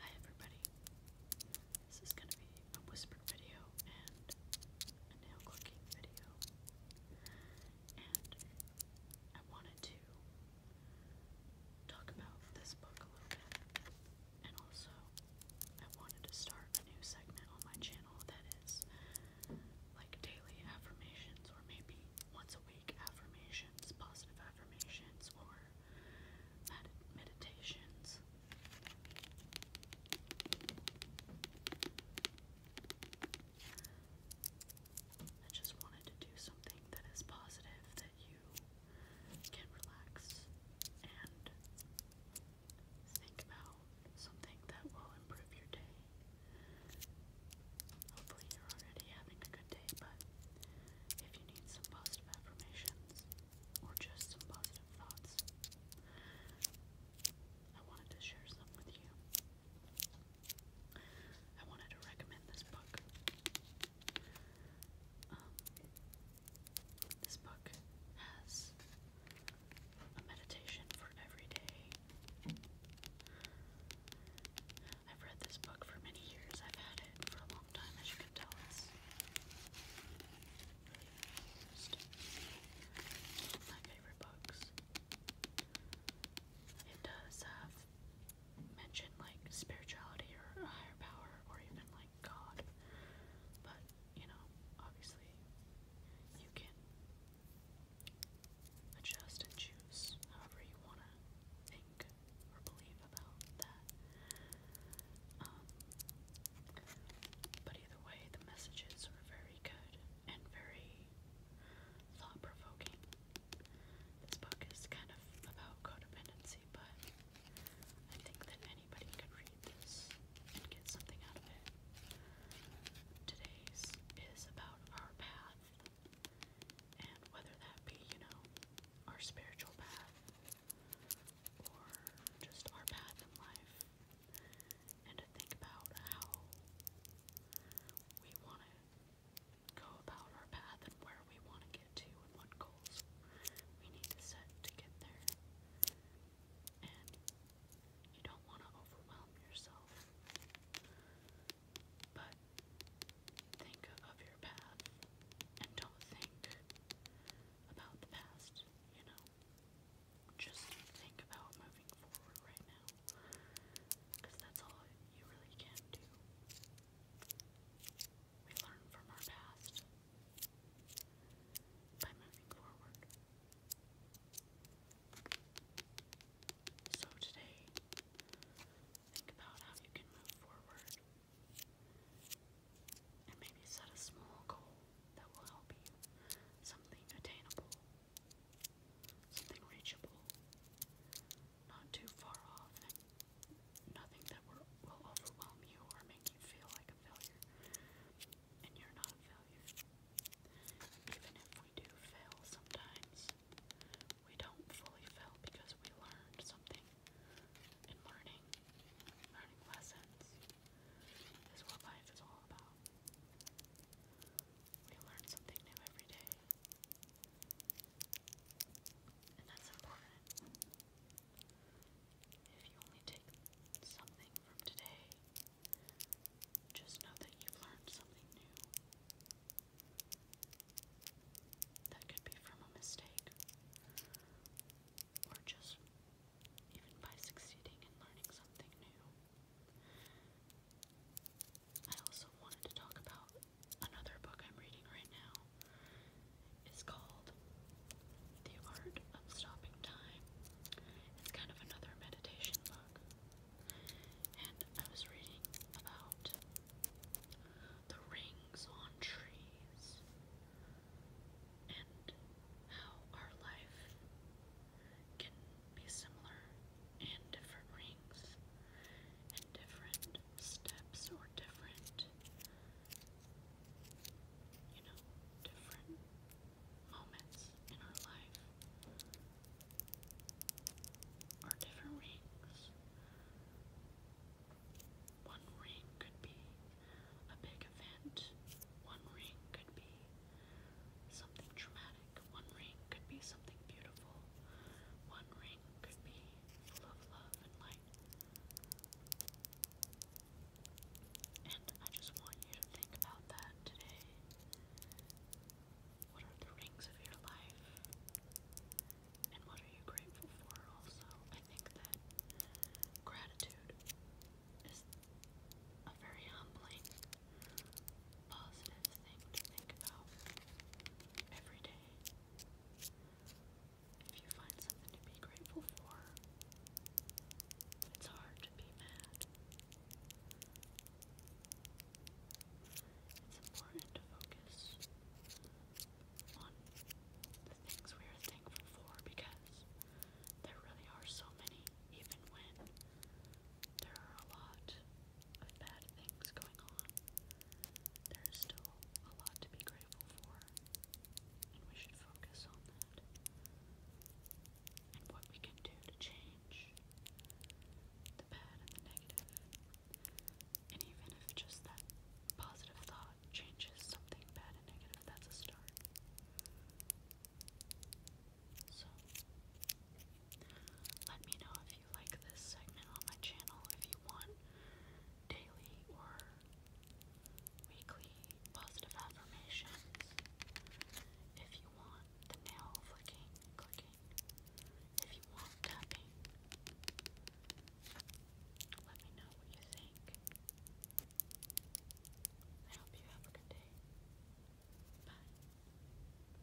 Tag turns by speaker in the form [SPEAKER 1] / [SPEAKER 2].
[SPEAKER 1] Hi everybody. This is gonna be a whispered video and a nail clicking video. And I wanted to talk about this book a little bit. And also I wanted to start a new segment on my channel that is like daily affirmations or maybe once a the affirmations, positive affirmations, or meditations. I just wanted to do something that is positive that you can relax and think about something that will improve your day. Hopefully, you're already having a good day, but if you need some positive affirmations or just some positive thoughts, I wanted to share some with you. I wanted to recommend this book. Um, this book has a meditation for every day. I've read this book for many years. I've had it for a long time, as you can tell. It's really used. My favorite books. It does have mention like spirituality or a higher power or even like God, but you know, obviously, you can adjust and choose however you want to think or believe about that. Um, but either way, the messages were very good and very thought provoking. This book is kind of about codependency, but I think that anybody could read this and Today's is about our path and whether that be, you know, our spiritual path or just our path in life. And to think about how we want to go about our path and where we want to get to and what goals we need to set to get there. You don't want to overwhelm yourself. But think of your path and don't think about the past, you know. Just think about moving forward right now. Because that's all you really can do. We learn from our past by moving forward. So today, think about how you can move forward and maybe set a small goal that will help you. Something attainable, something reachable, not too far off, nothing that will overwhelm you or make you feel like a failure and you're not a failure. Even if we do fail sometimes, we don't fully fail because we learned something. And learning, learning lessons, is what life is all about. We learn something new every day. And that's important. If you only take something from today, just know that you've learned something new. That could be from a mistake, or just even by succeeding in learning something new. I also wanted to talk about another book I'm reading right now is called The Art of Stopping Time. It's kind of another meditation book. And I was reading about the rings on trees and how our life can be similar in different rings and different steps or different, you know, different moments in our life or different rings. One ring could be a big event, one ring could be something traumatic, one ring could be something beautiful, one ring could be full love and light. And I just want you to think about that today. What are the rings of your life? And what are you grateful for also? I think that gratitude is a very humbling, positive thing to think about every day. If you find something to be grateful for, it's hard to be mad. It's important to focus on the things we are thankful for because there really are so many, even when there are a lot bad things going on, there is still a lot to be grateful for, and we should focus on that and what we can do to change the bad and the negative. And even if just that positive thought changes something bad and negative, that's a start. So, let me know if you like this segment on my channel, if you want daily or weekly positive affirmations, if you want the nail flicking, clicking, if you want tapping. Let me know what you think. I hope you have a good day. Bye.